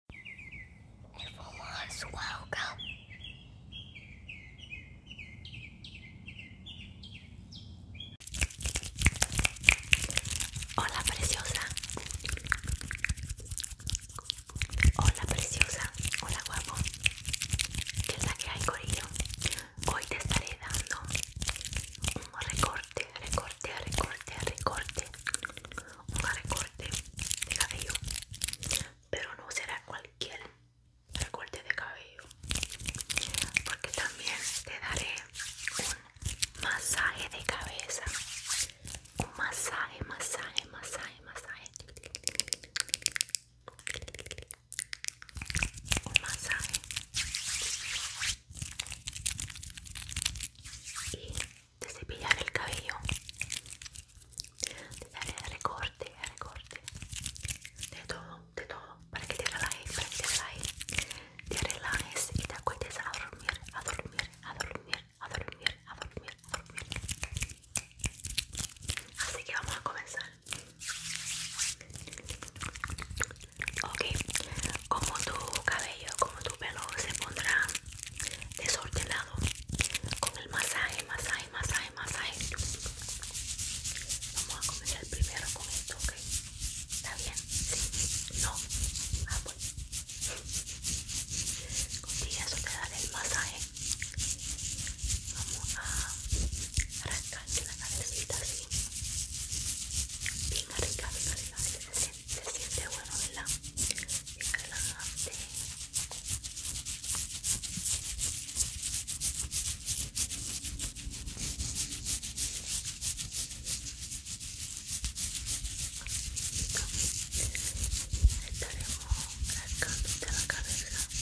fumo Hola preciosa. Hola preciosa. Hola guapo. ¿Qué tal que hay corillo? Hoy te estaré dando un recorte, recorte, recorte, recorte. Un recorte de cabello pero no será cualquier recorte de cabello porque también te daré un masaje de cabeza un masaje masaje masaje masaje un masaje te el cabello, de darle recorte, recorte, de todo, de todo, para que te relajes, para que te relajes, te y te acuestes a dormir, a dormir, a dormir, a dormir, a dormir, a dormir. Así que vamos a comenzar. Ok, como tu cabello, como tu pelo se pondrá desordenado con el masaje, masaje, masaje, masaje. Vamos a comenzar primero con esto, ¿ok? ¿Está bien? ¿Sí? ¿No? Ah, bueno. Contigo eso te el masaje. Vamos a rascarte la cabecita así. Bien arriba, bien arriba, se siente bueno, ¿verdad? la relajante. Estaremos de la cabeza. Bueno,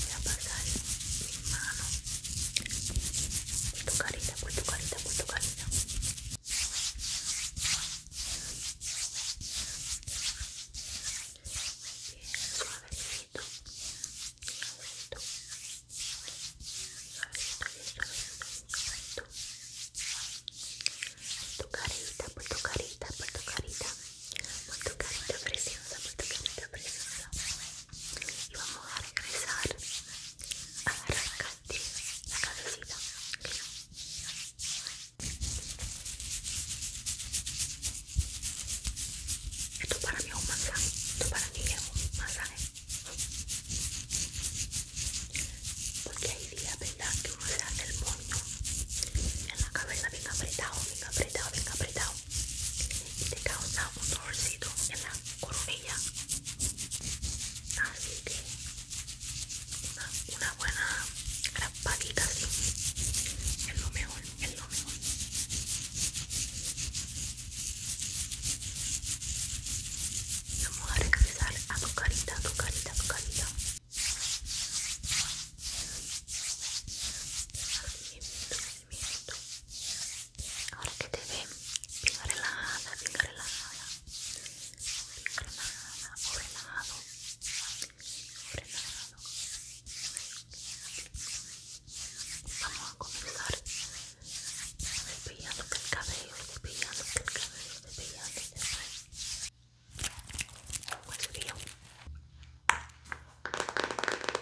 voy a pasar mi mano tu carita, por carita, carita. carita, carita, carita. preciosa, carita preciosa y vamos a regresar a la calle, la cabecita esto para mí es un masaje esto para mí es un masaje porque ahí día, verdad que uno se hace el moño en la cabeza venga apretado venga apretado venga apretado y te causa un dolorcito en la coronilla así que una, buena raspadita así es lo mejor es lo mejor vamos a regresar a tu carita a tu carita a tu carita Ahora que te ve bien relajada, bien relajada, bien relajada o relajado, relajado. Vamos a comenzar despellándote el cabello, despellándote el cabello, despellándote el cabello. Pues bien. Vamos a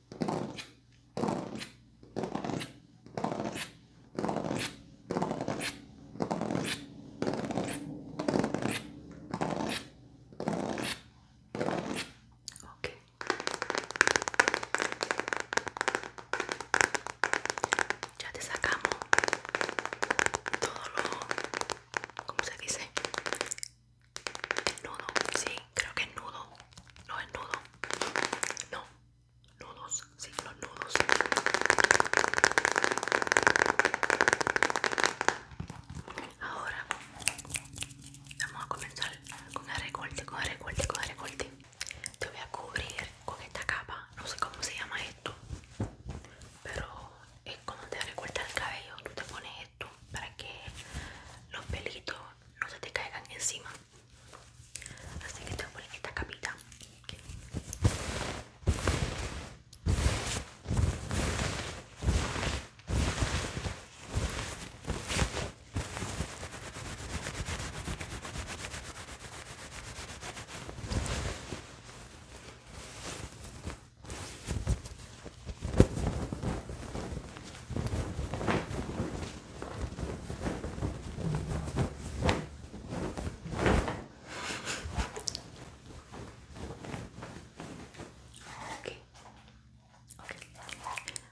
Ya te sacamos todo lo, ¿cómo se dice? Nudo, sí, creo que nudo. No es nudo. No, nudos, sí, los nudos. Ahora vamos a comenzar con el recorte, con el recorte, con el recorte. Te voy a cubrir con esta capa, no sé cómo se llama esto, pero es como te recorta el cabello. Tú te pones para que los pelitos no se te caigan encima así que tengo voy a esta capita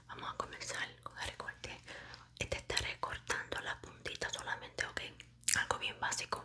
Vamos a comenzar con el recorte. Este está recortando la puntita solamente, ok. Algo bien básico.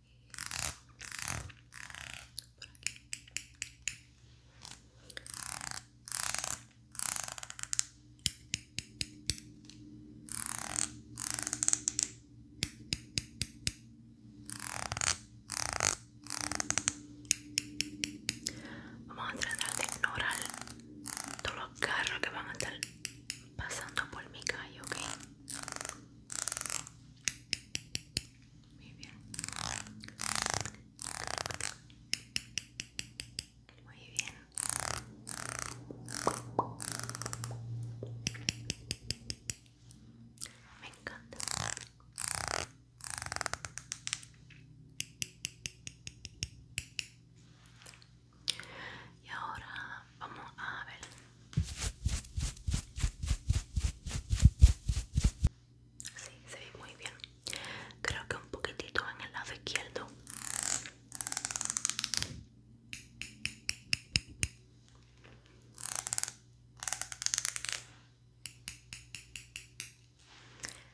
Vamos a tratar de ignorar todos los carros que van a estar pasando por mi calle, ¿ok? Muy bien. Muy bien. Me encanta. Y ahora vamos a ver Sí, se ve muy bien. Creo que un poquitito en el lado izquierdo.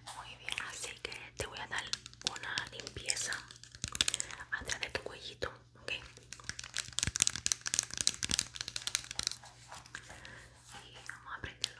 Muy bien, así que te voy a dar una limpieza atrás de tu cuellito ok y vamos a prenderlo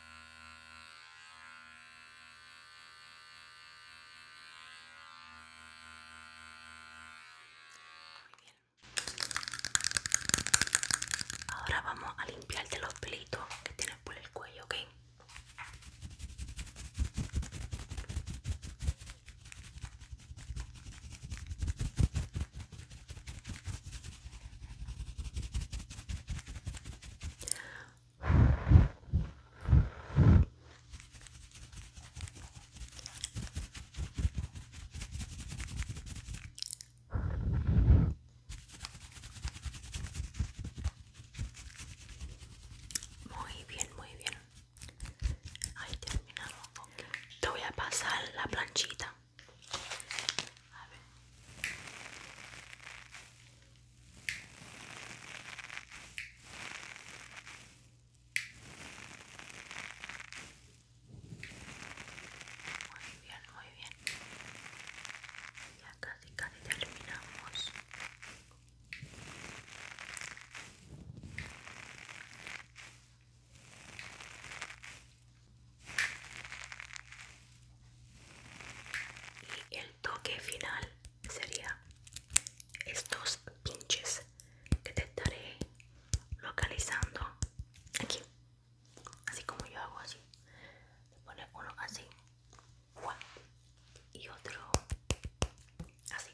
Ahora vamos a limpiarte los pelitos que tienes por el cuello, ¿ok? Muy bien, muy bien. Ahí terminamos. Te voy a pasar la planchita. Muy bien, muy bien. Ya casi, casi terminamos y el toque final sería estos pinches que te estaré localizando aquí así como yo hago así te pone uno así y otro así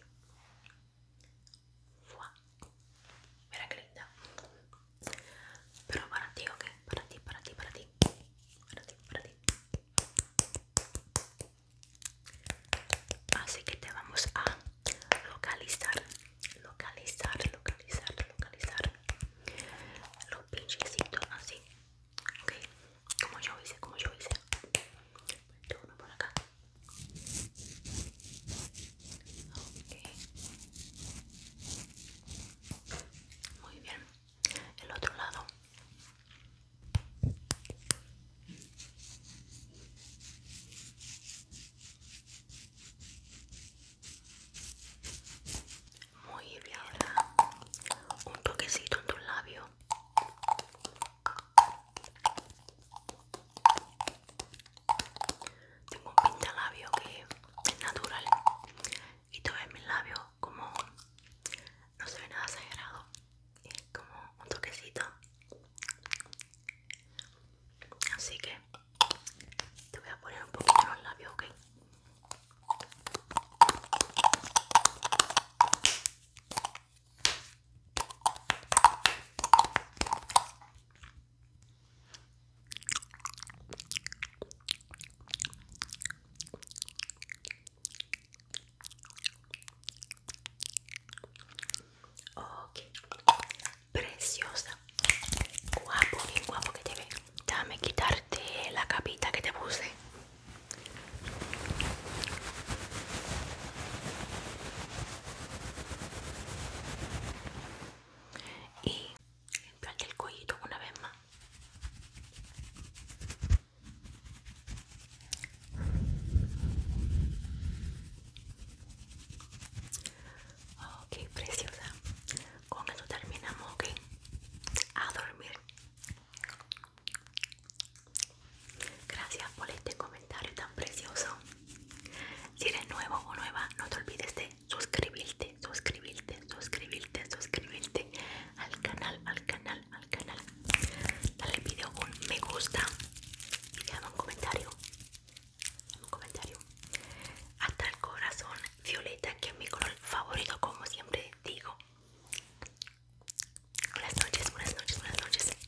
Mira que linda pero para ti, ¿ok? Para ti, para ti, para ti. Para ti, para ti. Así que te vamos a localizar, localizar, localizar, localizar lo pinchecito así, ok, como yo hice, como yo hice. Ponte por acá. Ok. Muy bien. El otro lado. Muy bien. Un toquecito en tu labio. Tengo un pintalabios que es natural y tú ves mis labios como no se ve nada y es como un toquecito así que te voy a poner un poquito en los labios ok Ok, preciosa, guapo, bien guapo que te ve. dame quitarte la capita que te puse. Y en plan el cuellito una vez más ok preciosa con esto terminamos ok a dormir gracias por este comentario tan precioso si eres nuevo o nueva no te olvides de suscribirte, suscribirte, suscribirte, suscribirte al canal, al canal, al canal. Dale al video un me gusta y déjame un comentario. Déjame un comentario. Hasta el corazón violeta, que es mi color favorito, como siempre digo. Buenas noches, buenas noches, buenas noches.